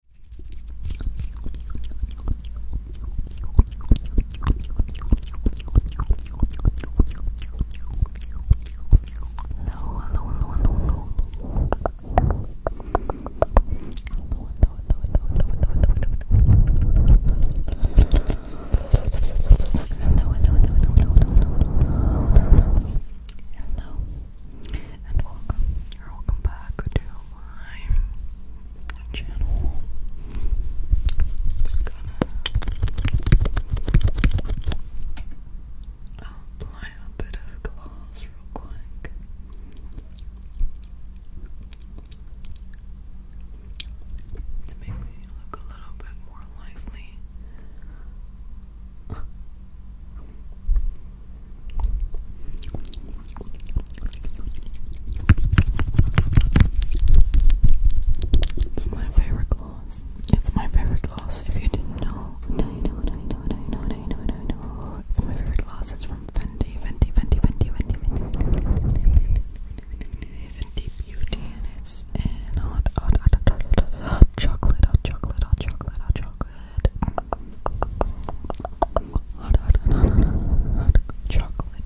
Hello, hello, hello, hello, hello. Hello, hello, hello, hello, hello, hello, hello. Hello, and welcome, or welcome back to my channel. Just gonna apply a bit of gloss real quick. To make me look a little bit more lively. It's my favorite gloss. It's my favorite gloss. If you didn't know, I know, I know, I know, I know, I know. It's my favorite gloss. It's from Fenty, Fenty, Fenty, Fenty, Fenty, Fenty, Fenty, Fenty Beauty, and it's in hot, hot, hot, hot, hot, hot chocolate, hot chocolate, hot chocolate, hot chocolate. Hot, hot, hot, hot, hot chocolate.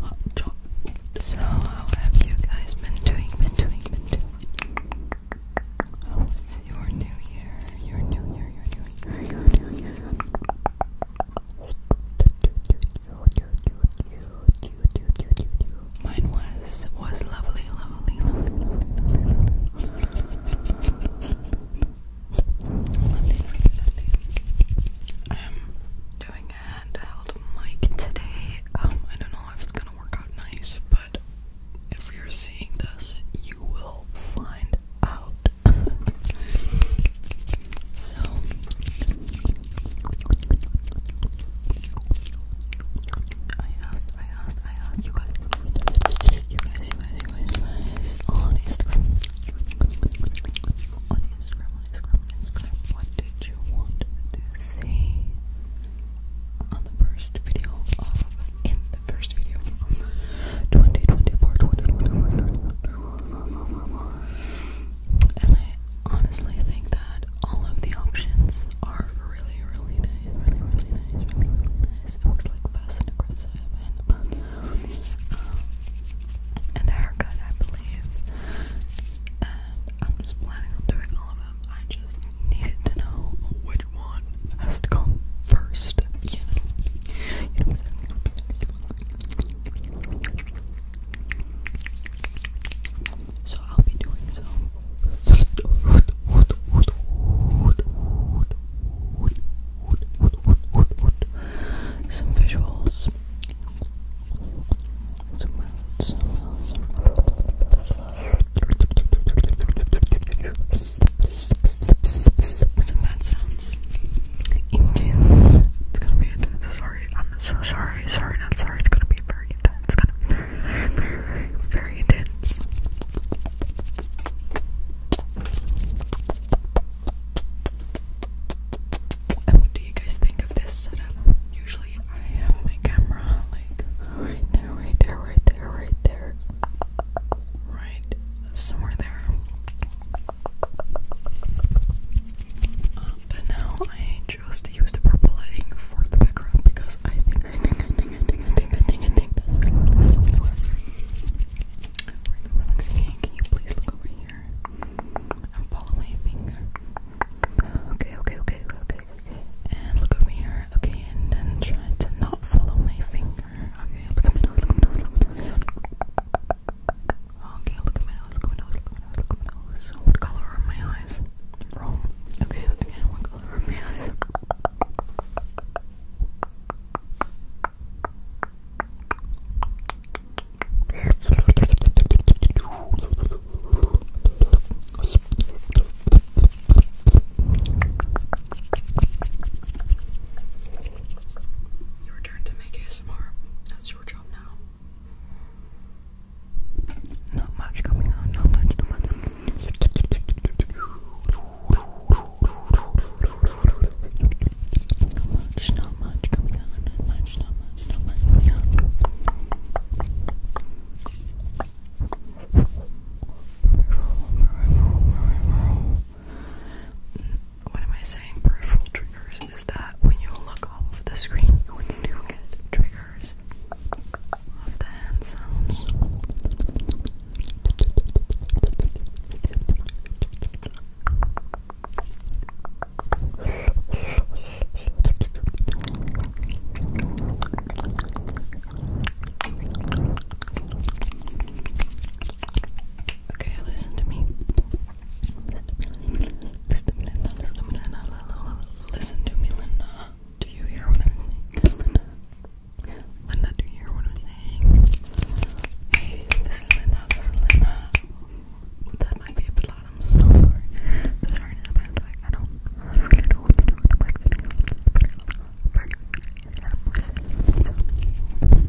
Hot chocolate. So, how have you guys been doing? Been doing? Been doing? Oh, it's your new year. Your new year. Your new year. Your new year. Mine was was lovely, lovely, lovely. I'm doing a handheld mic today. Um, I don't know if it's gonna work out nice, but if you're seeing this, you will find out. so I asked, I asked, I asked you guys. You guys, you guys, Voice on Instagram. On Instagram, on Instagram, on Instagram. What did you want to see on the first video of, in the first video of And I honestly think that all of the options are really, really nice. Really, really nice. It was like fast um, and a haircut, I believe. And I'm just planning on doing all of them. I just needed to know which one has to come first. You know, So I'll be doing so. some visuals, some words, some words. Some bad It's gonna be intense. Sorry, I'm so sorry. Sorry, not sorry. It's gonna be very intense. It's gonna be very, very intense. And what do you guys think of this setup? Usually I have my camera like right there, right there, right there, right there. Right somewhere there. Um, but now I chose to the purple lighting for the background because I think Really relaxing hand. Can you please look over here and follow my finger? Okay, okay, okay, okay, okay. And look over here. Okay, and then try to not follow my finger. Okay, look at my Look at my Look at my Okay, look at my Look at my Look at my Look at my what color are my eyes? Wrong. Okay, what color are my eyes? Your turn to make ASMR. That's your job now. Not much coming on, not much, not much much, not much coming on, not much, not much, not much coming on. What am I saying? Peripheral triggers is that when you look off the screen, you do get triggers of the hand Okay, listen to me. Listen to me, Linda. Listen to me, Linda. Do you hear what I'm saying? Linda. Linda, do you hear what I'm saying? Hey, this is Linda, That might be a bit loud, I'm sorry. sorry I don't, I don't really know what to do with the mic video.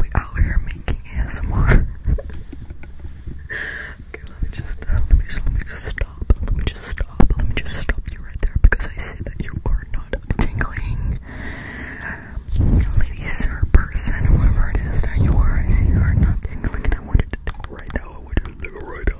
We out here making ASMR. okay, let me just uh, let me just let me just stop. Let me just stop. Let me just stop you right there because I see that you are not tingling. Ladies or person, whoever it is that you are, I see you are not tingling I want you to tingle right now. I want you to tingle right now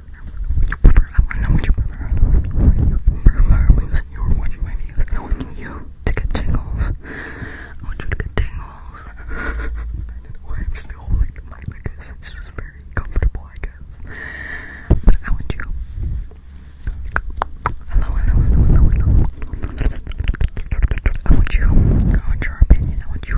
I want to know what you I want you prefer because you I want you to get tingles. I want you to get tingles. I don't know why I'm still holding the mic like this. It's just very comfortable, I guess. But I want you. hello, hello, hello, hello. I want you. I want your opinion. I want you.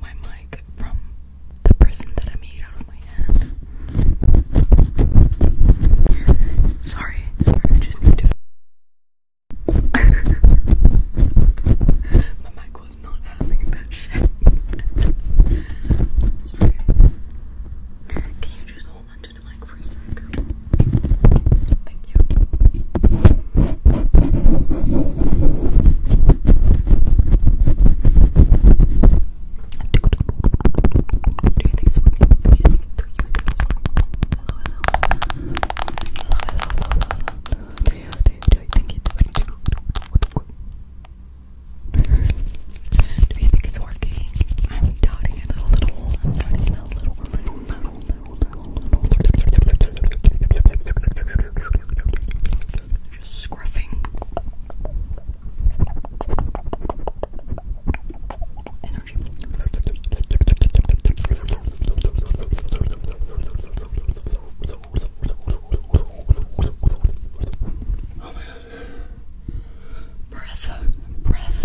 my mic from the person that I made out of my hand. Sorry, I just need to. my mic was not having that shit. Can you just hold onto the mic for a sec? thank you. Do you think it's working? Do you think, do you think it's working? Hello, hello. Hello, hello, hello, hello. Do you, do you, do you think it's working? Do you think it's working? I'm doubting it a little. I'm doubting it a little, a little, a little. Just scruffing. Energy. Oh my god. Breath. Breath.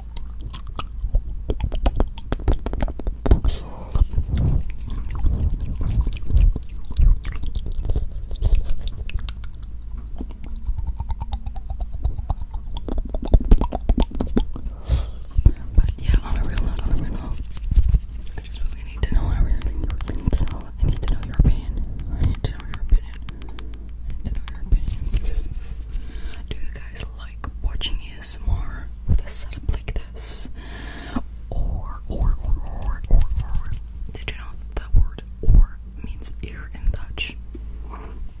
But yeah, on a real note, on a real note, I just really need to know. I really, really need to know. I need to know your opinion. I need to know your opinion in our opinion because do you guys like watching ASMR with a setup like this? Or, or, or, or, or, or, did you know that word or means ear in Dutch?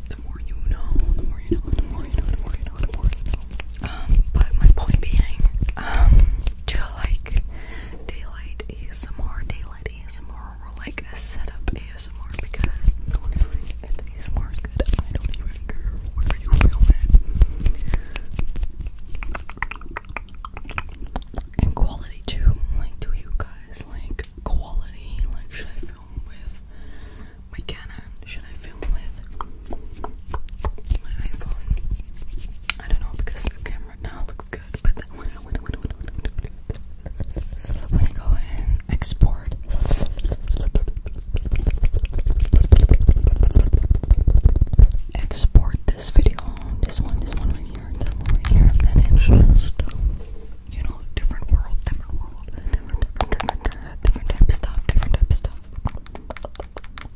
The more you know, the more you know, the more you know, the more you know, the more you know. Um, but my point being, um, do you like daylight ASMR, daylight ASMR, or like a setup ASMR because honestly, if the good, I don't even care where you film it. And quality too, like do you guys like quality? Like should I film with my Canon? Should I film with my iPhone? I don't know because the camera now looks good, but when I go and export. Export this video, this one, this one right here, this one right here, and it's just, you know, different world, different world, different, different, different, type of stuff, different type of stuff.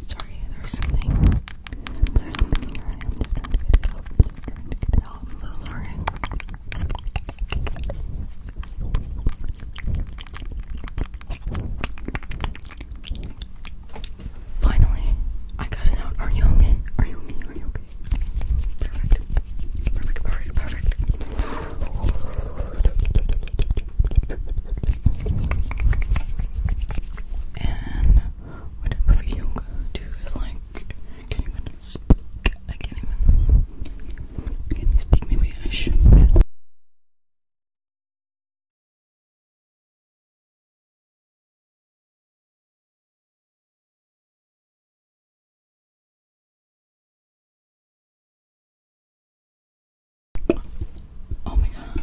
Sorry, there's something that i trying to get out. trying to get out. i Finally, I got it out. Are you okay? Are you okay? Are you okay? Perfect. Perfect, perfect, perfect. And what type do you guys like? speak. I can't even. Can you speak? Maybe I should. Oh my god.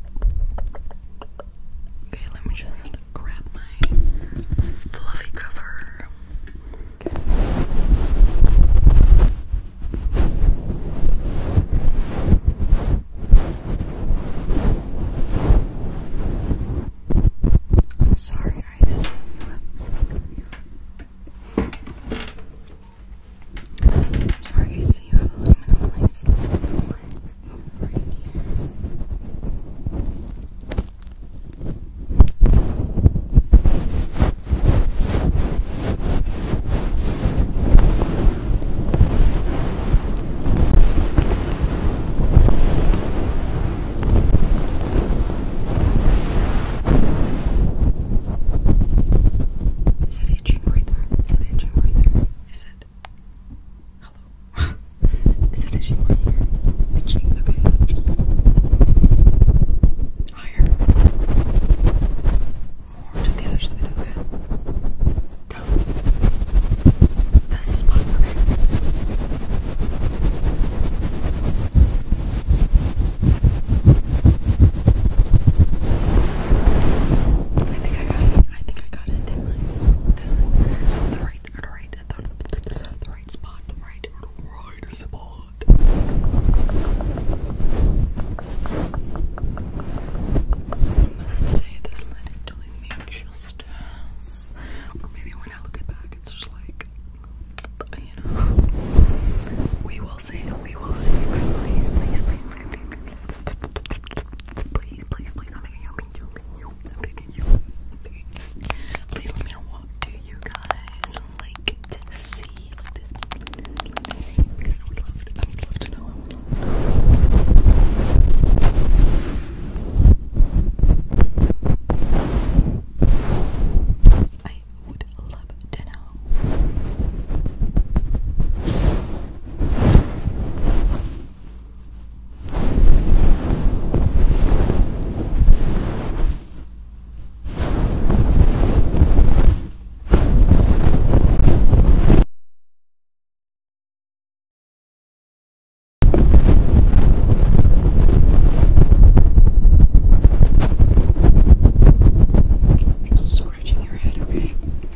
Okay, let me just grab my fluffy cover. sorry, I I'm sorry, so you have aluminum lights, right here. Is that a right there? Is that a right there? Is it? Hello? Is that issue right Itching? Okay, just. Higher. More to the other side, okay? Down. That's the spot, okay? I think I got it. I think I got it. The right, the right, the, right spot, the right, the right spot. I must say, this light is doing me just as, or maybe when I look back, it's just like, you know. We will see. We will see. Please, please, please. please. Please, please, please, I'm picking you, i you, i you, Please let me know what you guys I would love to, I I would love to know. I would love to know. Just scratching your head, okay?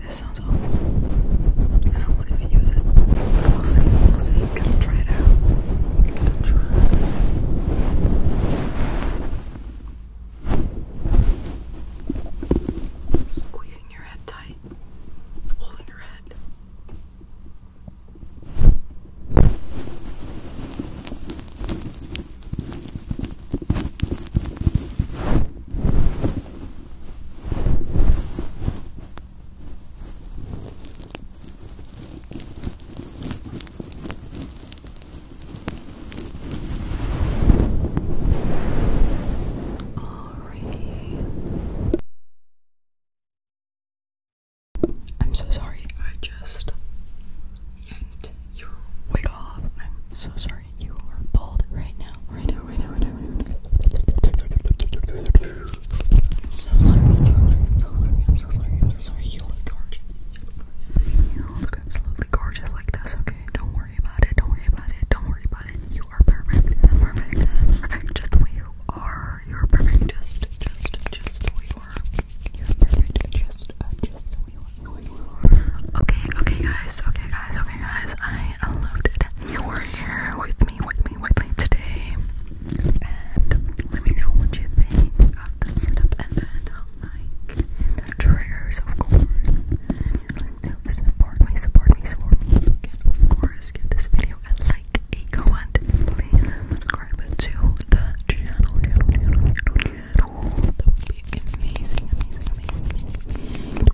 this sounds awful. I don't want to use it. We'll see. We'll see. Gotta try it out. Gotta try. Squeezing your head tight. Holding your head. Alrighty. I'm so sorry. I just yanked your wig off. I'm so sorry you are bald right now. Right now, right now, right now, so sorry, so sorry, so sorry, You look gorgeous. You look absolutely gorgeous like this, okay? Don't worry about it, don't worry about it, don't worry about it. You are perfect. perfect. perfect. Just the way you are. You're perfect. Just just just the way you are. You're perfect. Just uh, just the way you are. Okay, okay guys, okay guys, okay guys. I unloaded your hair with me, with me, with me today. And let me know what you think of the setup and then um, like the triggers of course. And you're like to support me, support me, support me. You can of course give this video a like, a comment, please subscribe to the channel, channel, channel, channel, channel. That would be amazing, amazing, amazing, amazing.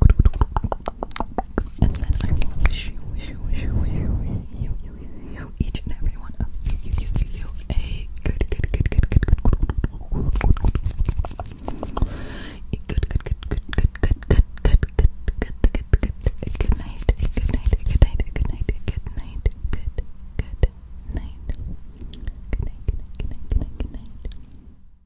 And then I will shoo, shoo, shoo, shoo, you, you, you, each and every one of you, you, you, you, a good, good, good, good, good, good, good, good, good, good night, good night, good night, good night, good night, good, good night, good night, good night, good night, good night.